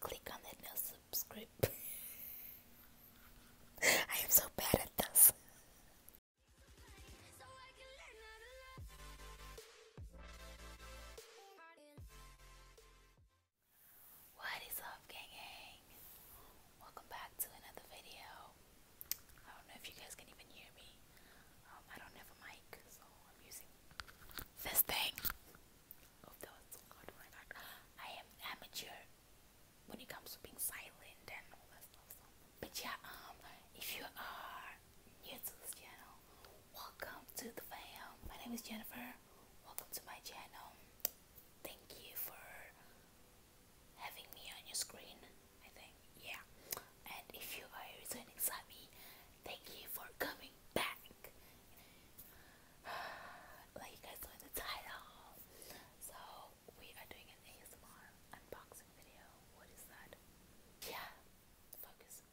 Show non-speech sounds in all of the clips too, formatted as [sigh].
Click on it now, subscribe. [laughs] I am so bad at this. What is up, gang? Welcome back to another video. I don't know if you guys can even hear me. Um, I don't have a mic, so I'm using this thing. Oh, I am amateur when it comes to being silent and all that stuff. But yeah, um, if you are new to this channel, welcome to the fam. My name is Jennifer. Welcome to my channel. Thank you for having me on your screen. I think, yeah. And if you are a returning Sami, thank you for coming back. [sighs] like you guys saw in the title. So, we are doing an ASMR unboxing video. What is that? Yeah, focus.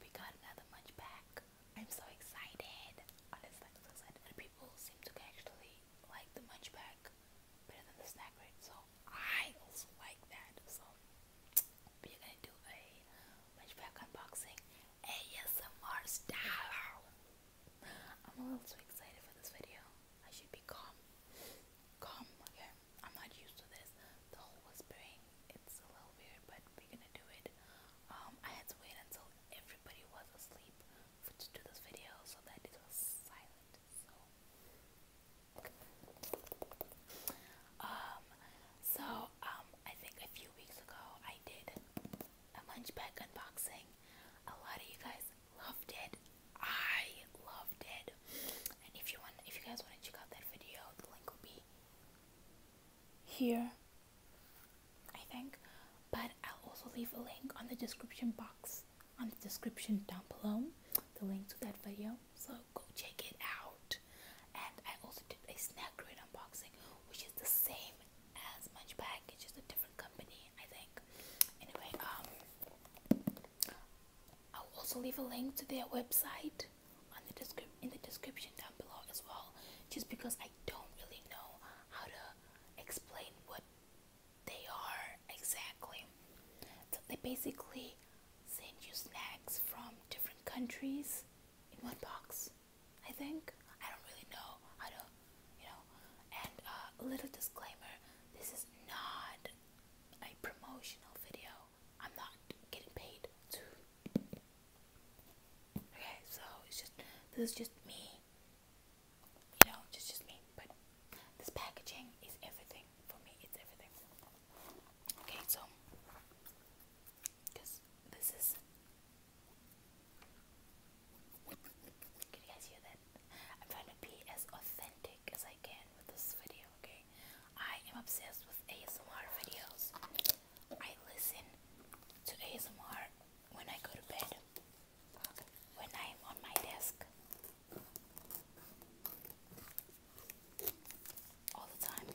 We got another munch pack. I'm so excited. Honestly, people seem to actually like the munch pack better than the snack rate. So I also like that. So we're gonna do a matchback unboxing ASMR style. I'm a little too excited for this video. I should be calm. Calm, okay. I'm not used to this. The whole whispering, it's a little weird, but we're gonna do it. Um, I had to wait until everybody was asleep to do this video so that it was silent. Um, so, um, I think a few weeks ago I did a Munchback unboxing. A lot of you guys loved it. I loved it. And if you want, if you guys want to check out that video, the link will be here. I think, but I'll also leave a link on the description box on the description down below the link to that video so go check it out and I also did a snack crate unboxing which is the same as Munch Bag it's just a different company I think anyway um I'll also leave a link to their website on the description in the description down below as well just because I don't really know how to explain what they are exactly. So they basically send you snacks from different countries in one box. I think I don't really know I don't, you know. And uh, a little disclaimer: this is not a promotional video. I'm not getting paid to. Okay, so it's just this is just me you know, it's just me. But this packaging is everything for me. It's everything. Okay, so because this is. Can you guys hear that? I'm trying to be as authentic as I can with this video. Okay, I am obsessed with ASMR videos. I listen to ASMR when I go to bed, when I'm on my desk, all the time.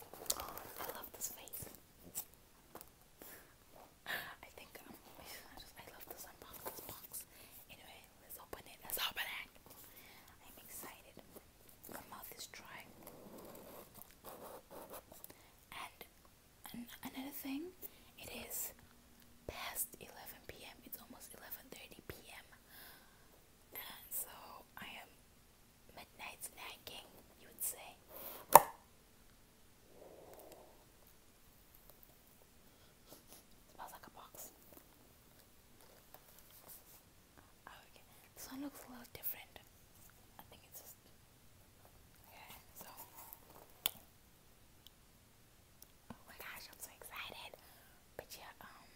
Oh, I love this face. I think um, I just I love this unbox this box. Anyway, let's open it. Let's open it. I'm excited her mouth is dry. And, another thing, it is past 11 p.m. It's almost 11:30 p.m. And so I am midnight snacking, you would say. Smells like a box. Oh, okay. This one looks a little different. I think it's just Okay, so oh my gosh, I'm so excited. But yeah, um,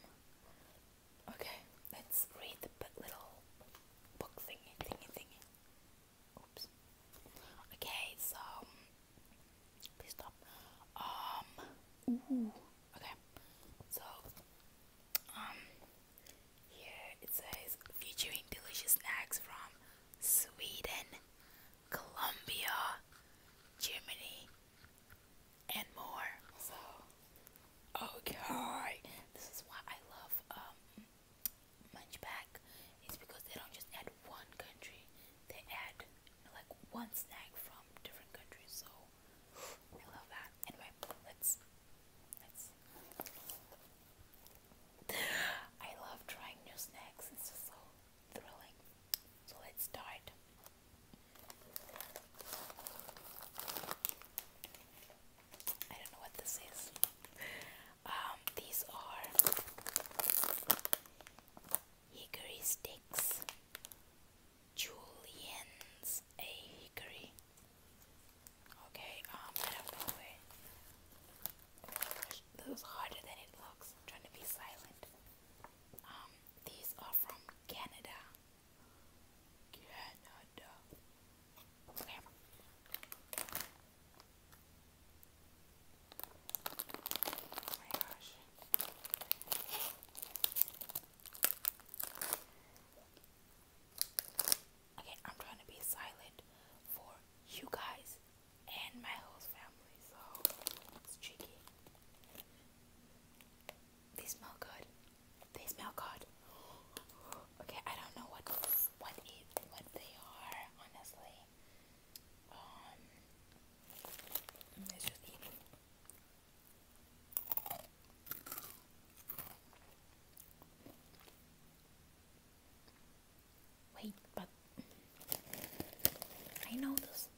okay, let's read the little book thingy, thingy, thingy. Oops. Okay, so um, please stop. Um, ooh, okay. So, um, here it says featuring delicious snacks from Sweden, Colombia, Germany, and more. So, okay, this is why I love um, Munchback. It's because they don't just add one country; they add like one snack from different countries. So I love that. Anyway, let's let's I love trying new snacks, it's just so thrilling. So let's start. I don't know what this is. Um, these are hickory sticks. Julian's a hickory Okay, um, I don't know where. This is harder than it looks. trying to be silent. Um, these are from Canada. Canada. Okay. Oh my gosh. Okay, I'm trying to be silent for you guys and my whole family, so it's cheeky. They smell good. They smell good. Okay, I don't know what what what they are, honestly. Um, let just eat. Wait, but I know this.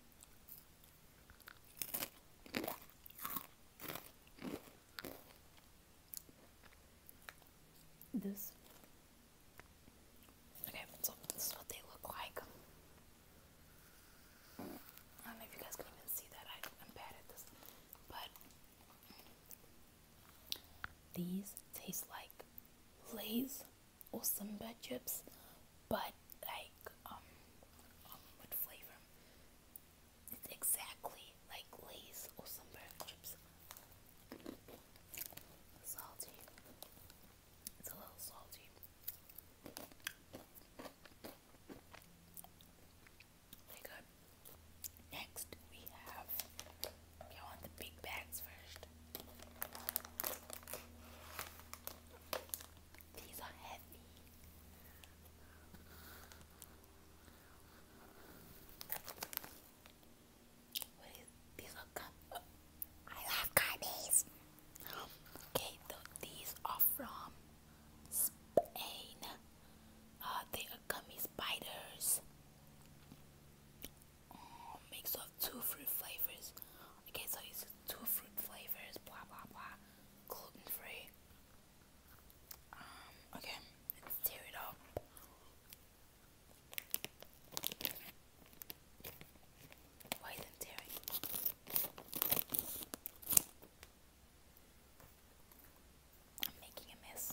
This. Okay, so this is what they look like. I don't know if you guys can even see that. I, am bad at this, but these taste like Lay's or some Simba chips, but like um, um flavor. It's exactly like Lay's or Simba chips. Salty. It's a little salty. Very Next, we have. You want the big bags first. These are heavy. these are I love gummies. Okay, so these are from Spain. Uh, they are gummy spiders. Oh, mix of two fruit flavors. Okay, so it's two fruit flavors, blah blah blah. Gluten free. Um, okay, let's tear it up. Why isn't tearing? I'm making a mess.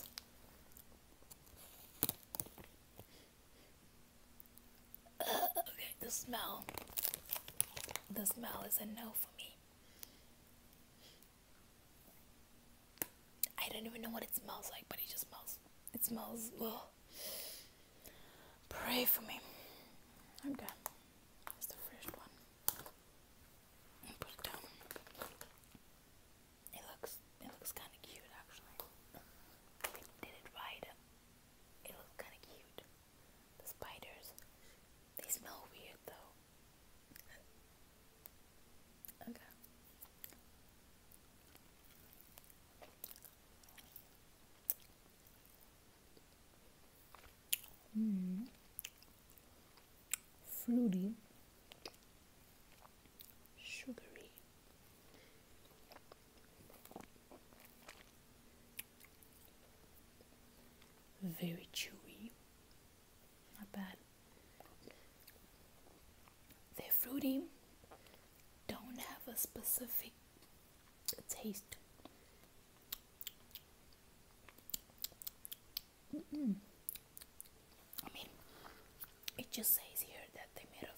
okay, the smell. The smell is a no for me. I don't even know what it smells like, but it just smells. It smells. Ugh. Pray for me. Okay, here's the first one put it down. It looks it looks kinda cute actually. did it right. It looks kinda cute. The spiders. They smell weird though. Okay. Mm fruity, sugary. Very chewy, not bad. They're fruity, don't have a specific taste. I mean, it just says here that they made of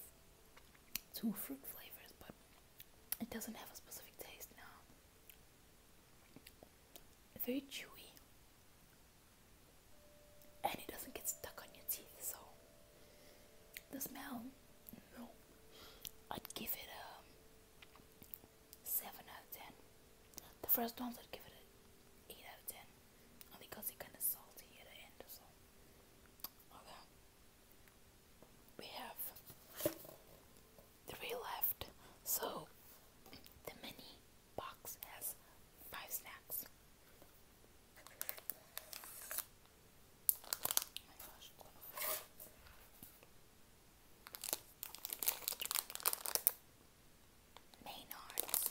two fruit flavors, but it doesn't have a specific taste now. Very chewy, and it doesn't get stuck on your teeth. So the smell, no, I'd give it a um, seven out of ten. The first ones I'd give it an 8 out of 10, only because it's kind of salty at the end, so. We have three left, so the mini box has five snacks. Maynard's.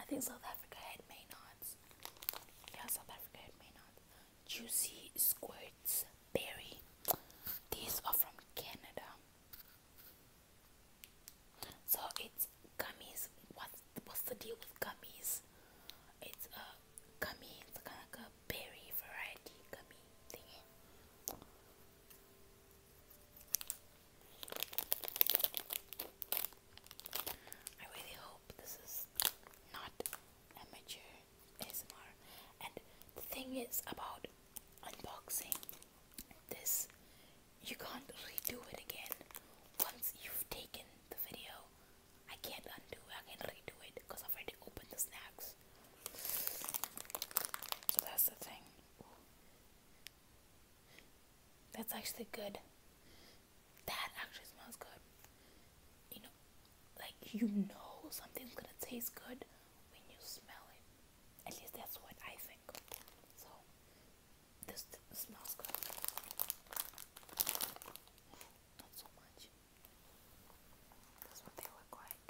I think South Africa had Maynards. Yeah, South Africa had Maynards. Juicy Squirts Berry. These are from Canada. So it's gummies. What's what's the deal with gummies? It's a gummy. It's kind of a berry variety gummy thingy. I really hope this is not amateur ASMR. And the thing is about unboxing this, you can't redo it again once you've taken the video. I can't undo it, I can't redo it because I've already opened the snacks. So that's the thing. That's actually good. That actually smells good. You know, like you know something's gonna taste good when you smell it. At least that's what I think. So this smells good. Not so much. That's what they look like.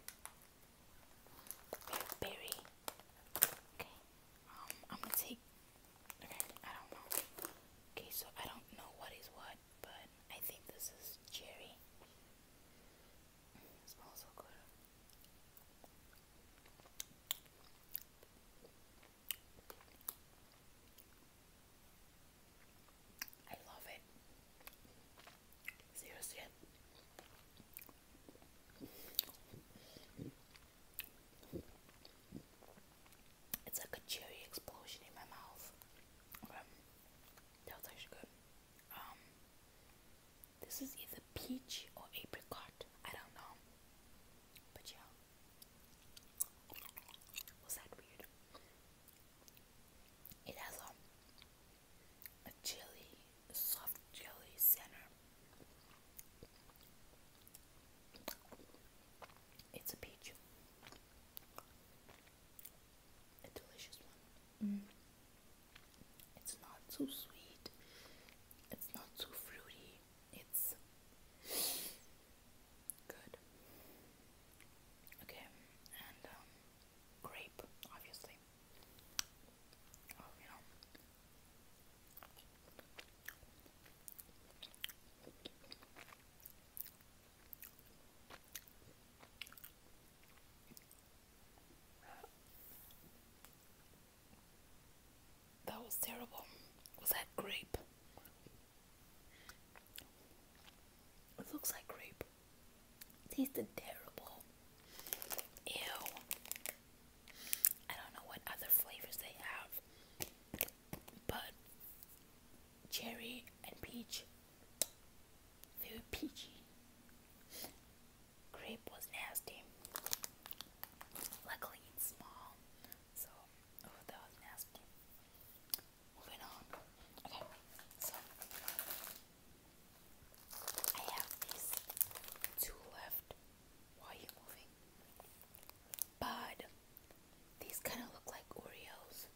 berry. Okay. Um, I'm gonna take. Okay, I don't know. Okay, so I don't know what is what, but I think this is cherry. smells so good. I love it. Seriously. It's like a cherry explosion in my mouth. Um, that was actually good. Um, this is either peach or apricot. I don't know. But yeah. It has um, a, a chili, soft chili center. It's a peach. A delicious one. Mm. It's not so sweet. It's not so fruity. It's good. Okay, and um, grape, obviously. Oh, that was terrible. Was that grape? It looks like grape. It terrible. Ew. I don't know what other flavors they have, but cherry and peach, they peachy. Grape was nasty. Luckily, it's small, so Oh, that was nasty. Moving on. Okay, so I have these two left. Why are you moving? But these kind of look like Oreos.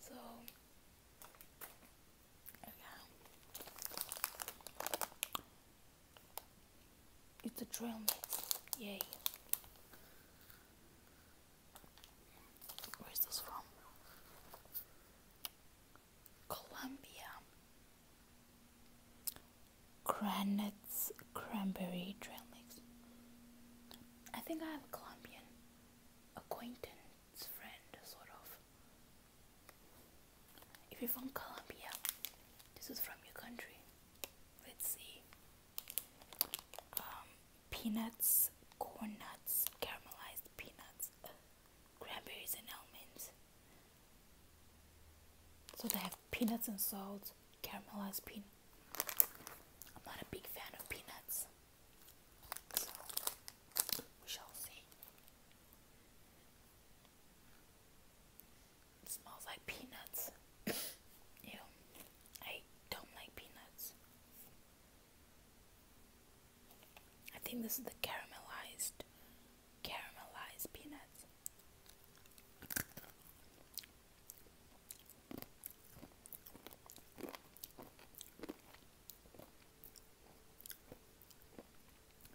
So, yeah. It's a trail mix. Yay. Where's this from? Colombia. Granite's cranberry trail mix. I think I have a Colombian acquaintance friend, sort of. If you're from Colombia, this is from your country. Let's see. Um, peanuts, corn nuts, caramelized peanuts, cranberries, and almonds. So they have peanuts and salt, caramelized peanuts. I'm not a big fan of peanuts, so we shall see. It smells like peanuts. [coughs] Ew. I don't like peanuts. I think this is the caramelized, caramelized peanuts.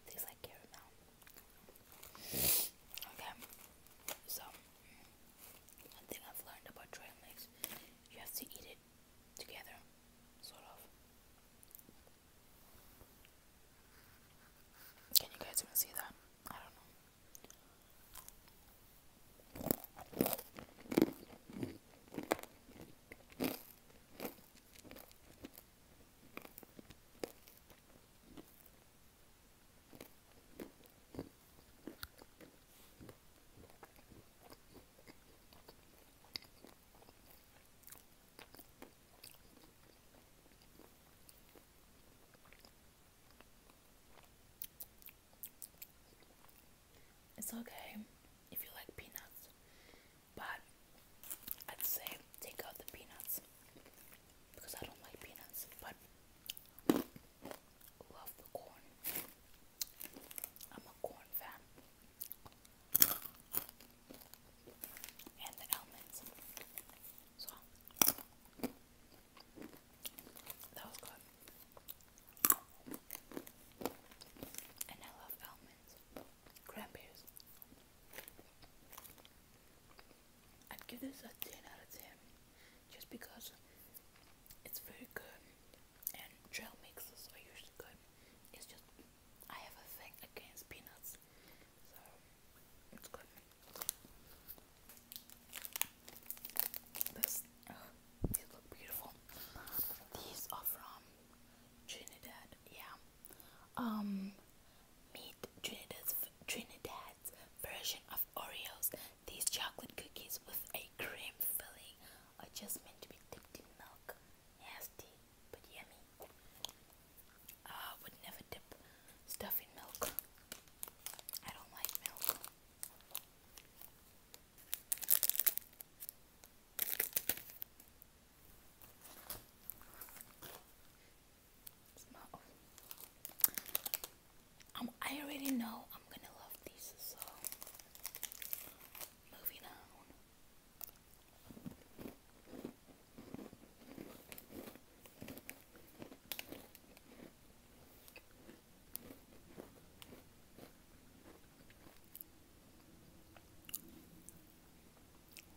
Tastes like caramel. [coughs] Okay, so one thing I've learned about trail mix, you have to eat it together, sort of. Can you guys even see that? I don't know. It's okay if you like peanuts, but I'd say take out the peanuts because I don't like peanuts, but love the corn. I'm a corn fan. And the almonds. So that was good. And I love almonds. Cranberries. I'd give this a 10 out of 10 just because it's very good and trail mixes are usually good. It's just I have a thing against peanuts, so it's good. these look beautiful. These are from Trinidad, yeah. Um, Meet Trinidad's, Trinidad's version of Oreos. These chocolate cookies with a cream filling are just meant to be dipped in milk. Nasty, but yummy. I would never dip stuff in milk. I don't like milk. Um, I already know I'm gonna love this. so moving on.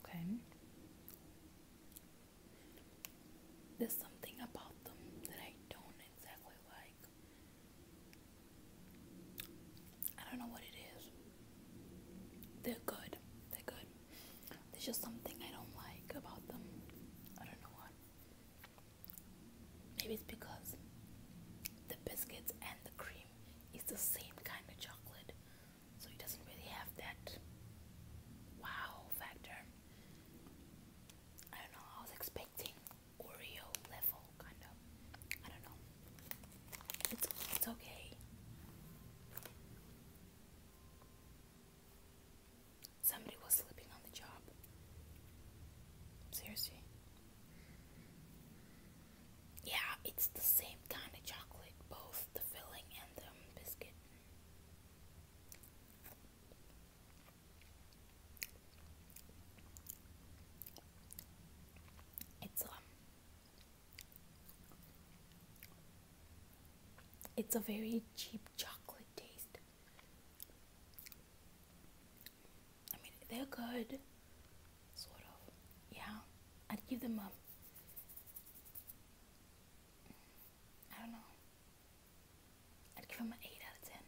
Okay. There's something about them that I don't exactly like. I don't know what it is. They're good. They're good. There's just something I don't like about them. I don't know what. Maybe it's because the biscuits and the cream is the same kind of chocolate. So it doesn't really have that wow factor. I don't know, I was expecting Oreo level kind of. I don't know. It's it's okay. Somebody was slipping on the job. Seriously. Yeah, it's the same kind of chocolate, both the filling and the biscuit. It's um It's a very cheap chocolate taste. I mean, they're good, sort of. Yeah, I'd give them a. I don't know. I'd give them an 8 out of 10.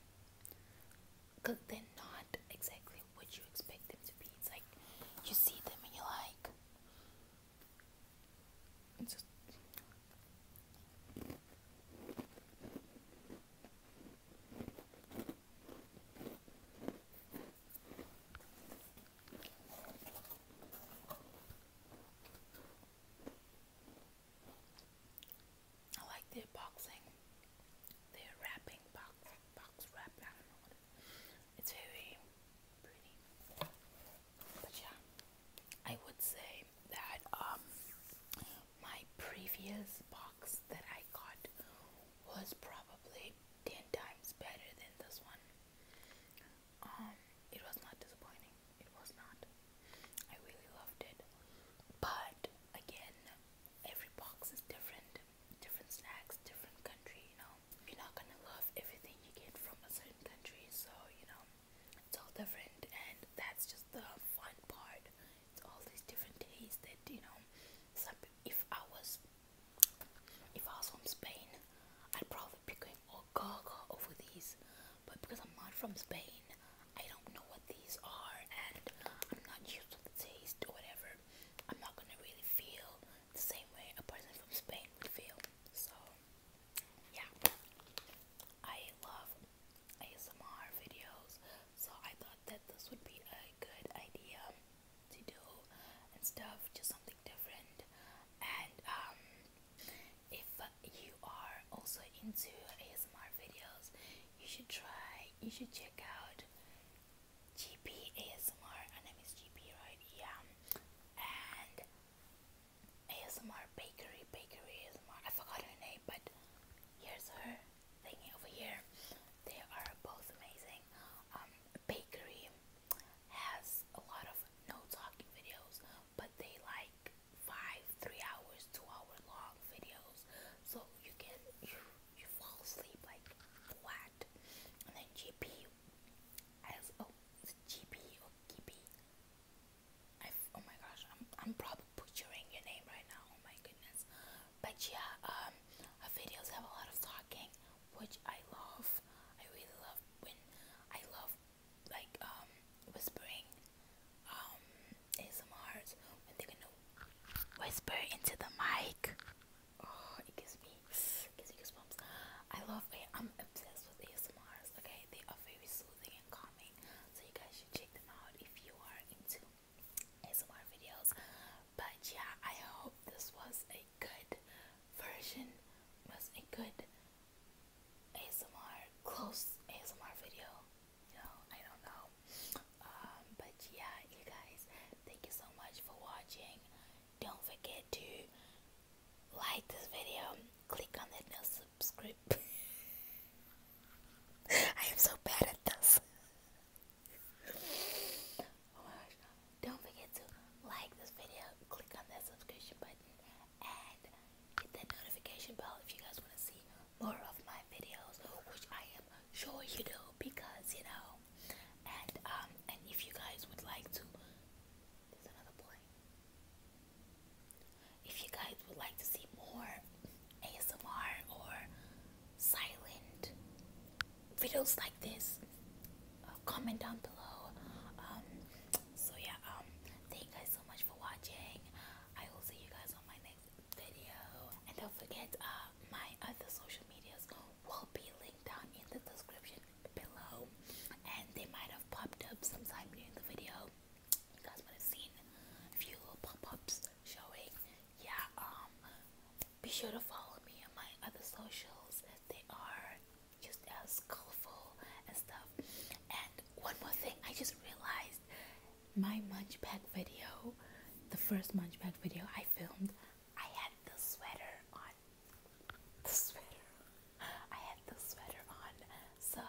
Because they're not exactly what you expect them to be. It's like you see them and you're like. I like their boxing, their wrapping, box, box wrap, I don't know what it is. It's very pretty. But yeah, I would say that um, my previous box that I got was probably 10 times better than this one. Um, it was not disappointing it was not i really loved it but again every box is different different snacks different country you know you're not gonna love everything you get from a certain country so you know it's all different and that's just the fun part it's all these different tastes that you know some if i was if I was from Spain, I'd probably be going all oh, gaga over these but because I'm not from Spain, I don't know what these are, and I'm not used to the taste or whatever. I'm not gonna really feel the same way a person from Spain would feel. So, yeah, I love ASMR videos, so I thought that this would be a good idea to do and stuff, just something different. And um, if you are also into ASMR videos, you should try, you should check out GP ASMR. Her name is GP, right? Yeah, and ASMR Bakery, Bakery ASMR. I forgot her name, but here's her thing over here. They are both amazing. Um, Bakery has a lot of no talking videos but they like five, three hours, two hour long videos. So you can you you fall asleep like what? And then GP oh is I oh my gosh, I'm I'm probably butchering your name right now. Oh my goodness. But yeah, um videos have a lot of talking, which I love. I really love when I love like um whispering um ASMRs when they're whisper into the mic. Oh, it gives me it gives me goosebumps. I love it. I'm obsessed with ASMRs. Okay, they are very soothing and calming, so you guys should check them out if you are into ASMR videos. But yeah, I hope this was a good version, was a good ASMR close ASMR video. You know, I don't know. Um, but yeah, you guys, thank you so much for watching. Don't forget to like this video. Click on the subscribe. [laughs] I am so bad at this. oh my gosh. Don't forget to like this video, click on that subscription button, and hit that notification bell if you guys want to see more of my videos, which I am sure you do because you know. And um, and if you guys would like to, there's another boy. If you guys would like to see more ASMR or silent videos like this, uh, comment down below. Um, so yeah, um, thank you guys guys so much for watching. I will see you guys on my next video. And don't forget, uh, my other social medias will be linked down in the description below. And they might have popped up sometime during the video. You guys might have seen a few little pop-ups showing. Yeah, um, be sure to follow me on my other socials. They are just as colorful and stuff. And one more thing, I just realized my munchback video, the first munchback video I filmed, I had the sweater on. The sweater. I had the sweater on. So.